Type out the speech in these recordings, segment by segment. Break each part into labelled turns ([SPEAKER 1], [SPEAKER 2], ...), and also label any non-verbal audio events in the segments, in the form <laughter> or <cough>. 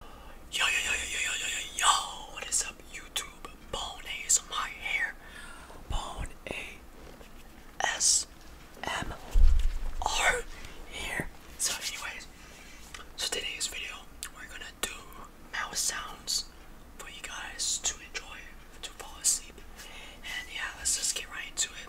[SPEAKER 1] Yo, yo, yo, yo, yo, yo, yo, yo, what is up, YouTube? Bone is my hair. Bone A S M R here. So, anyways, so today's video we're gonna do mouse sounds for you guys to enjoy, to fall asleep, and yeah, let's just get right into it.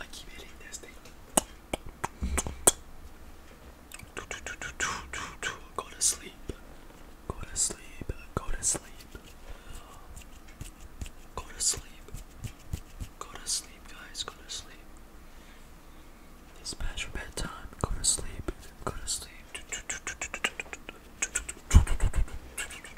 [SPEAKER 1] I keep hitting this thing. Go to sleep. Go to sleep. Go to sleep. Go to sleep. Go to sleep, guys. Go to sleep. It's past your bedtime. Go to sleep. Go to sleep.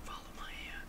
[SPEAKER 1] Follow my hand.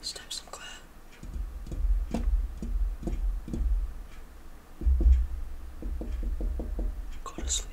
[SPEAKER 1] Snap some glare. Go to sleep.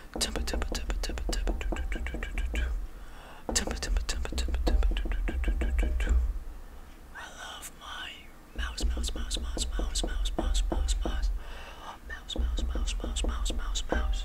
[SPEAKER 1] I love my mouse, mouse, mouse, mouse, mouse, mouse, mouse, mouse, mouse, mouse, mouse, mouse, mouse, mouse, mouse, mouse.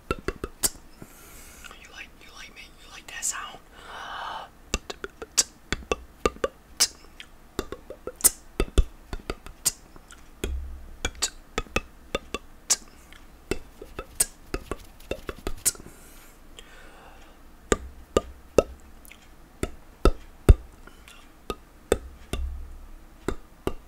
[SPEAKER 1] You like you like me? You like that sound?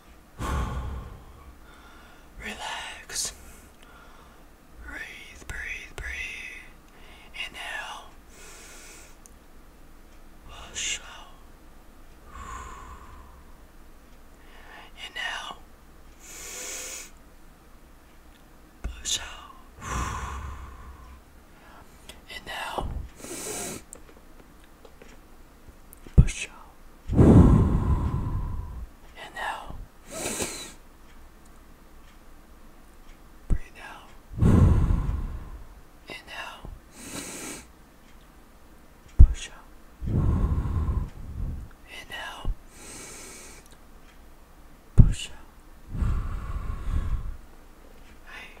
[SPEAKER 1] <sighs> Relax. Breathe, breathe, breathe. Inhale. Push Inhale. Push out. Inhale. Push out. And now. Breathe out. And now. Push out. And now. Push out. Hey.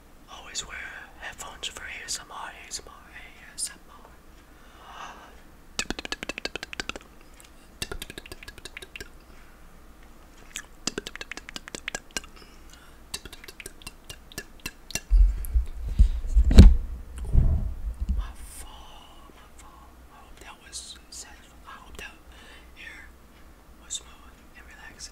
[SPEAKER 1] Always wear headphones for ASMR, ASMR, ASMR. My fall, my fall. I hope that was satisfying. I hope that here was smooth and relaxed.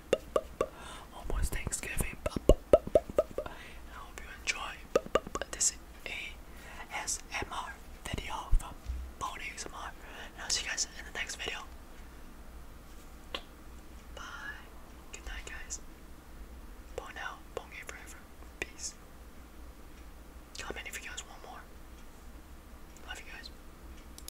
[SPEAKER 1] almost Thanksgiving. I hope you enjoy this ASMR video from Pony ASMR. will see you guys in the next video. Bye. Good night, guys. Bone out. Bone forever. Peace. Comment if you guys want more. Love you guys.